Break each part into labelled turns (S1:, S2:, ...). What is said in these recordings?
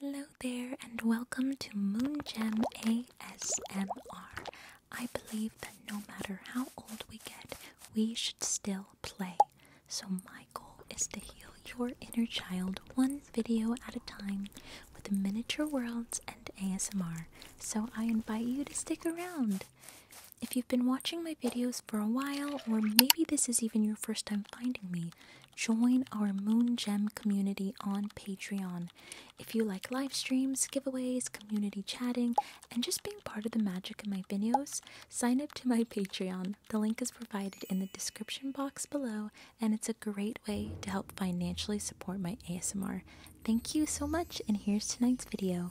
S1: Hello there, and welcome to Moon Gem ASMR. I believe that no matter how old we get, we should still play. So, my goal is to heal your inner child one video at a time with miniature worlds and ASMR. So, I invite you to stick around. If you've been watching my videos for a while, or maybe this is even your first time finding me, Join our Moon Gem community on Patreon. If you like live streams, giveaways, community chatting, and just being part of the magic of my videos, sign up to my Patreon. The link is provided in the description box below, and it's a great way to help financially support my ASMR. Thank you so much, and here's tonight's video.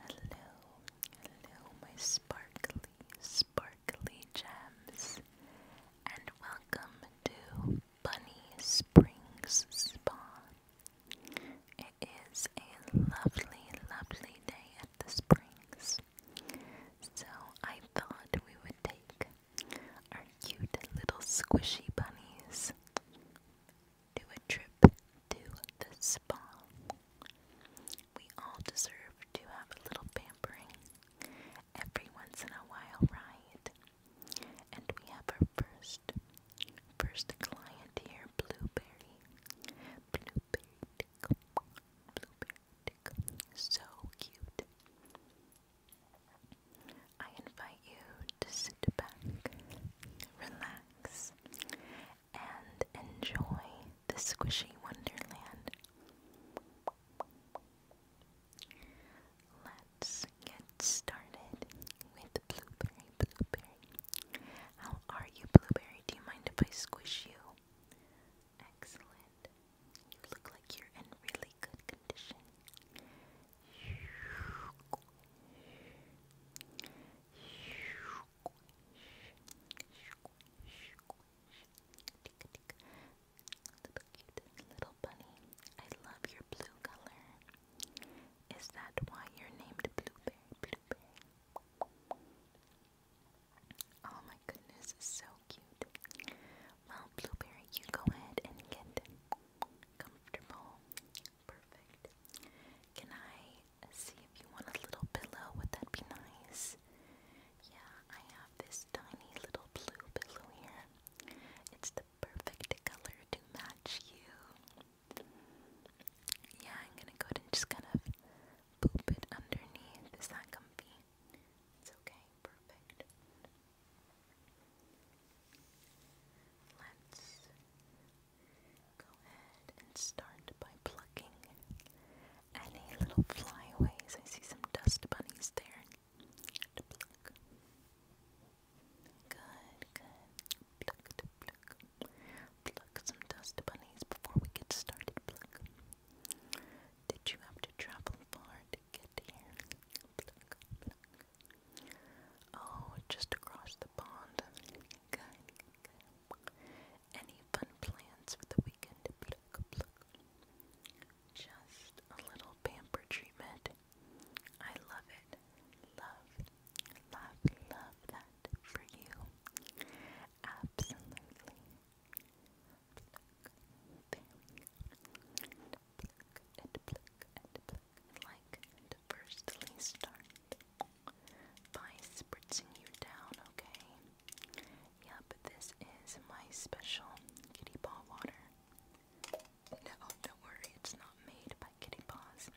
S1: Hello, hello, my sparkly, sparkly gems, and welcome to Bunny Springs Spa. It is a lovely, lovely day at the springs, so I thought we would take are cute little squishy bunnies do a trip to the spa. We all deserve to have a little pampering every once in a while, right? And we have our first first client here, Blueberry. Blueberry Blueberry So cute. I invite you to sit back, relax, and enjoy the squishy wonderland. Let's get started with Blueberry Blueberry. How are you, Blueberry? Do you mind if I squish you? Excellent. You look like you're in really good condition. Little cute little bunny. I love your blue color. Is that why you're named Blueberry Blueberry? Oh my goodness, so cute. Well, Blueberry, you go ahead and get Comfortable. Perfect. Can I see if you want a little pillow? Would that be nice? Yeah, I have this tiny little blue pillow here. It's the perfect color to match you. Yeah, I'm gonna go ahead and just kind of poop it underneath. Is that comfy? It's okay, perfect. Let's go ahead and start by plucking any little flyaways. I see some dust bunnies there Good, good. Pluck, pluck. Pluck some dust bunnies before we get started. Did you have to travel far Oh, just across the pond. Good, Any fun plans for the weekend? Just a little pamper treatment. I love it. Love, love, love that for you. Absolutely like firstly start by spritzing you down, okay? Yep, this is my special kitty paw water. No, do worry, it's not made by kitty paws.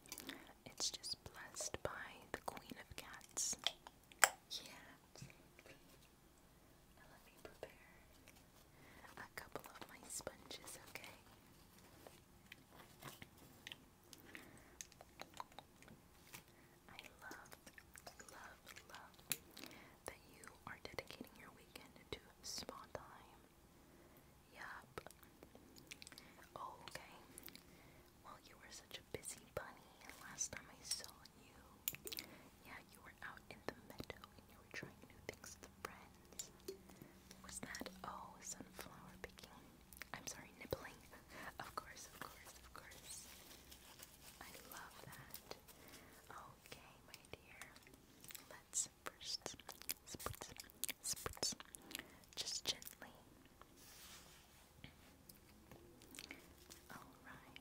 S1: It's just blessed by the queen of cats. Yeah let me prepare a couple of my sponges, okay? I love, love, love that you are dedicating your weekend to spa time. Yup. Oh, okay. Well, you were such a busy bunny last time I saw you. Yeah, you were out in the meadow and you were trying new things with friends. Was that, oh, sunflower picking? I'm sorry, nibbling. of course, of course, of course. I love that. Okay, my dear. Let's first just gently. Alright.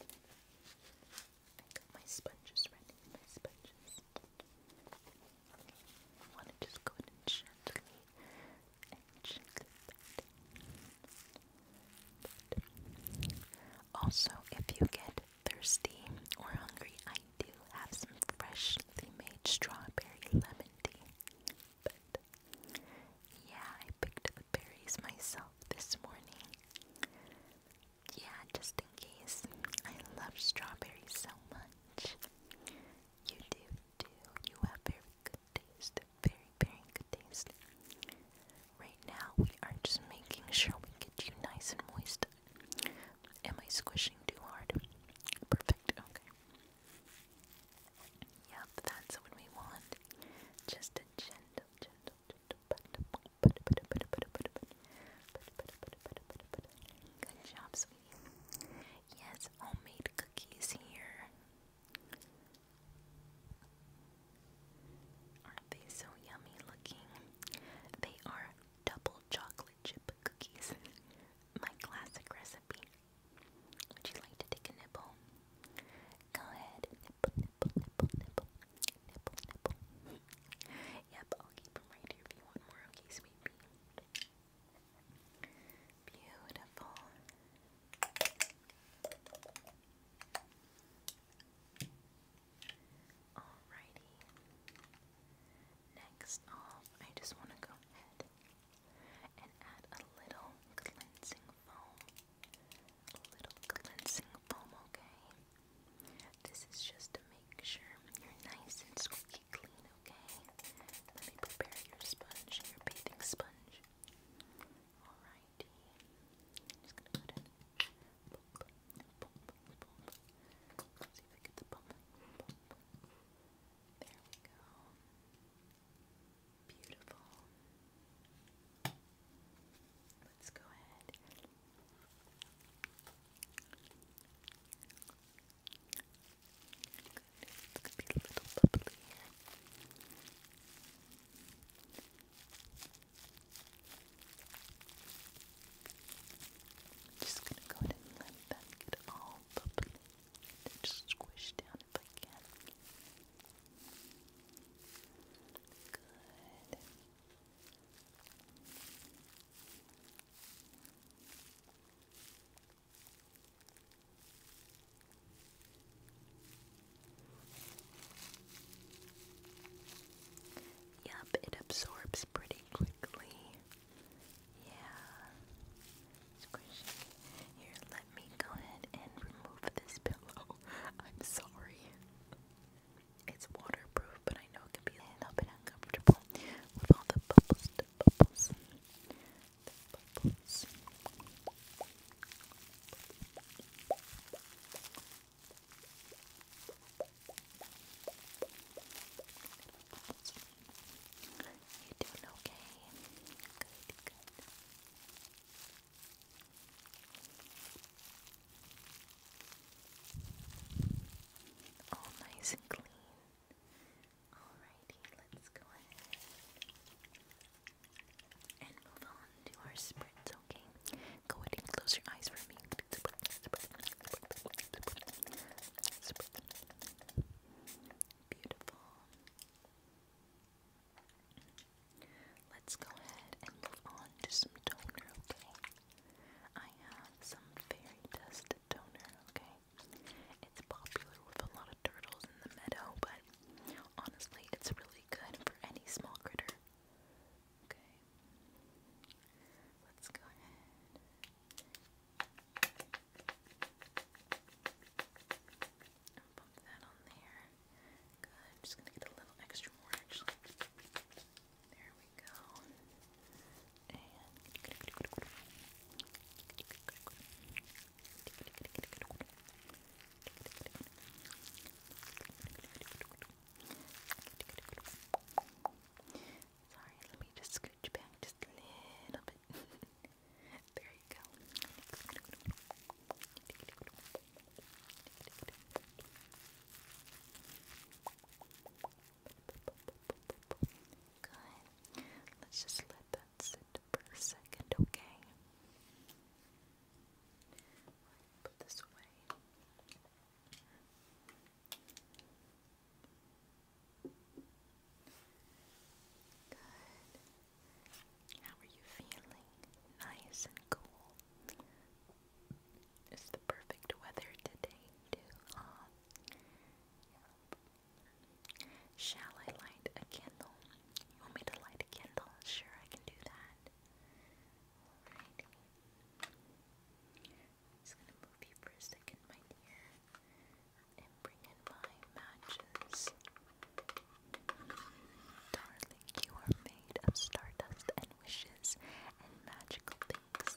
S1: I got my sponges ready, my sponges. I want to just go in and gently, gently Also, if you get thirsty or hungry, I do have some freshly made strawberry lemon tea yeah, I picked the berries myself this morning. Yeah, just in case. I love strawberries so much. You do too. You have very good taste. Very, very good taste. Right now, we are just making sure we get you nice and moist. Am I squishing too hard? Perfect. Okay. Yep, that's what we want. Just a gentle, gentle, gentle pat. Good job, sweetie. Yes, homemade cookies here. Aren't they so yummy looking? They are double chocolate chip cookies. My classic recipe. Would you like to take a nibble? Go ahead. Nibble, nibble, nibble, nibble. Nibble, nibble. yep, I'll keep them right here if you want more. Okay, sweet Beautiful. Alrighty. Next I just want to go ahead and add a little cleansing foam. A little cleansing foam, okay? This is just to make sure you're nice and squeaky clean, okay? Let me prepare your sponge, your bathing sponge. Alrighty. i just gonna put in. There we go. Beautiful. Let's go ahead. Good. It's be a little bubbly here. just gonna go ahead and let them get all bubbly just squish down if I can. Good. Yep, it absorbs pretty quickly. Yeah. Here, let me go ahead and remove this pillow. I'm sorry. It's waterproof, but I know it can be a little bit uncomfortable with all the bubbles, bubbles. Bubbles, you doing okay? Good, good. All nice and clean. Alrighty, let's go ahead and move on to our spritz, okay? Go ahead and close your eyes for me. Beautiful. Let's go ahead and move on to some toner, okay? I have some fairy dust toner, okay? It's popular with a lot of turtles in the meadow, but honestly, it's really good for any small critter. Okay. Let's go ahead. I'll pump that on there. Good. I'm just gonna get a little extra more actually. There we go. And Sorry, let me just just a little bit. there you go. Good. Let's just let that sit for a second, okay? Put this away. Good. How are you feeling? Nice and cool. It's the perfect weather today, too. Shall I light a candle? You want me to light a candle? Sure, I can do that. Alrighty just gonna move you for a second right here and bring in my matches. Darling, you are made of stardust and wishes and magical things.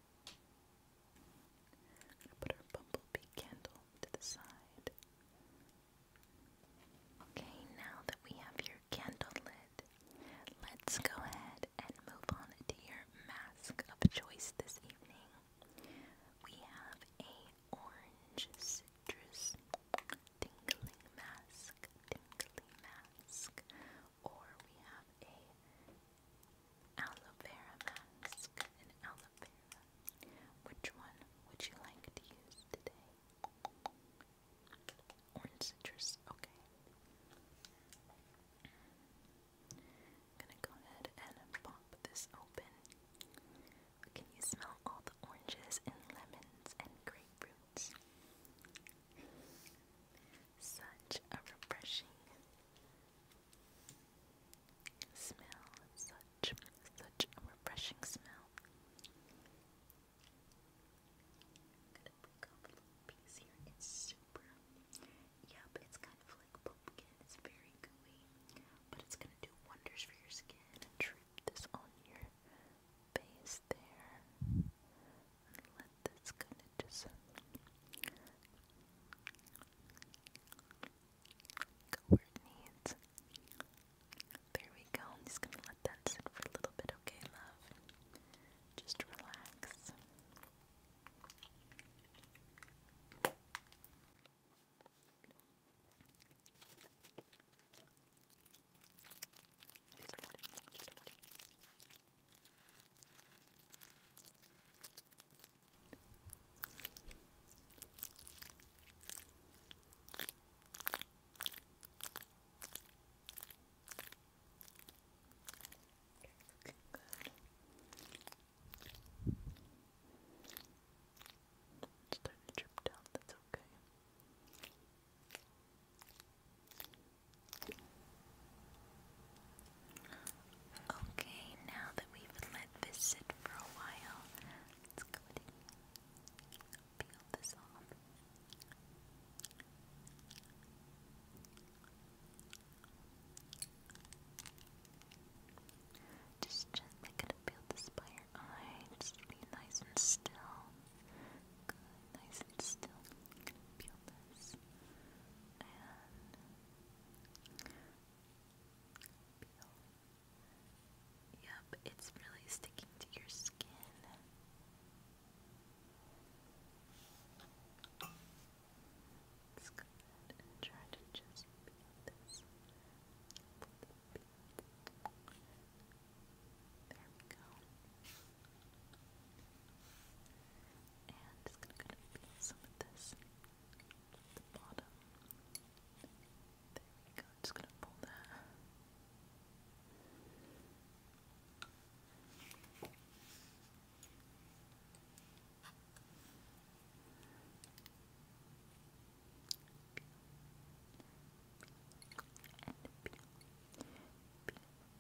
S1: put our bumblebee candle to the side. Okay, now that we have your candle lit, let's go ahead and move on to your mask of choice this evening. We have a orange citrus tingling mask, tingly mask or we have a aloe vera mask, an aloe vera. Which one would you like to use today? Orange citrus, okay. I'm gonna go ahead and pop this open. Can you smell all the oranges and lemons and grapefruits? Such a refreshing smell. Such such a refreshing smell. I'm gonna break off a little super yep, it's kind of like pumpkin. It's very gooey. But it's gonna do wonders for your skin. Drip this on your face there let this kind of just go where it needs. There we go. I'm just gonna let that sit for a little bit, okay, love? Just relax. Okay, looking good. It's starting to drip down, that's okay. Okay. Okay, now that we've let this sit for a while, let's go ahead and peel this off. Just gently gonna peel this by your Just be nice and still nice and still. Peel this Yep, it's really sticking to your skin. try to just peel this. There we go. And i just gonna kind some of this at the bottom. There we go, just gonna pull that. Peel, peel, peel,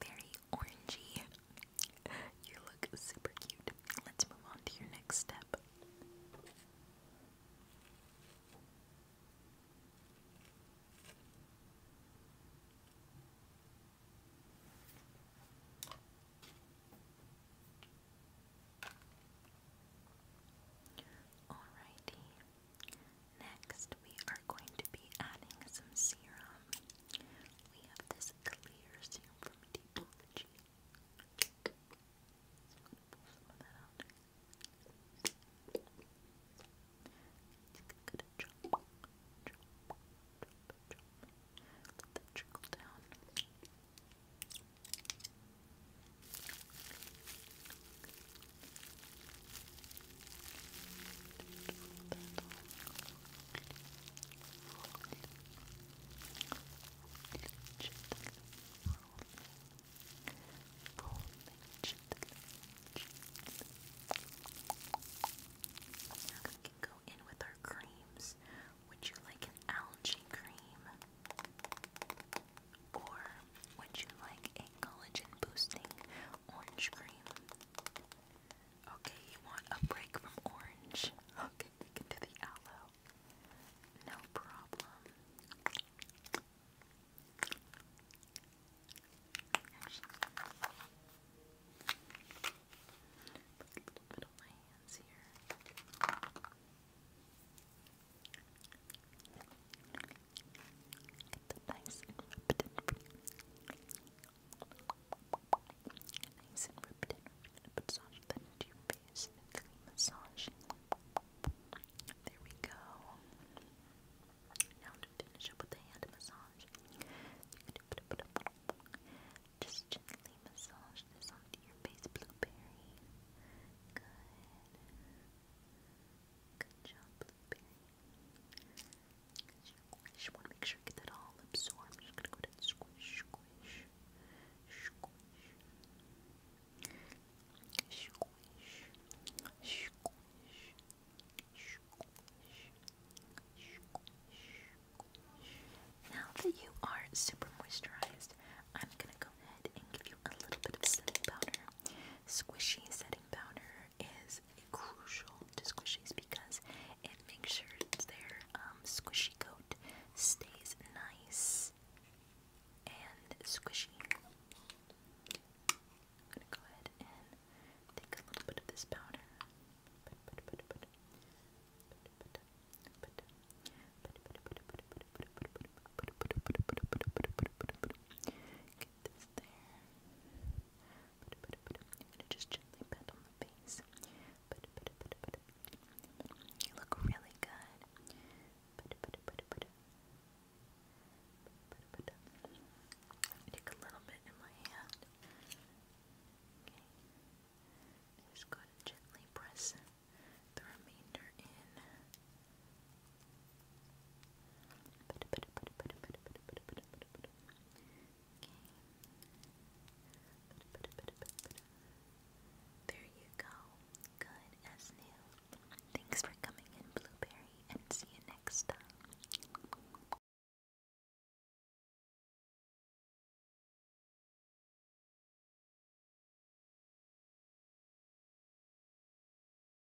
S1: very orangey. You look super cute. Let's move on to your next step. Alrighty. Next, we are going to be adding some serum. We have this clear serum from Deepology. So that out. It's gonna jump, jump, Let that trickle down. Now we can go in with our creams. Would you like an algae cream? Or would you like a collagen boosting orange cream. Okay, you want a break from orange? Okay, we can do the aloe. No problem. Actually, a little bit on my hands here. Get the nice and Nice and ripped in. Massage that into your face and clean massage. There we go. Now to finish up with a hand massage. Just gently massage this onto your face, blueberry. Good. Good job, blueberry. I am gonna go ahead and Now that you are super moisturized, I'm gonna go ahead and give you a little bit of setting powder. Squishy setting powder is crucial to squishies because it makes sure their um, squishy coat stays nice and squishy. I'm gonna go ahead and take a little bit of this powder just gently pat on the face. You look really good. Take a little bit in my hand. Okay. Just go to gently press the remainder in. There you go. Good as new. Thanks for coming in, Blueberry, and see you next time.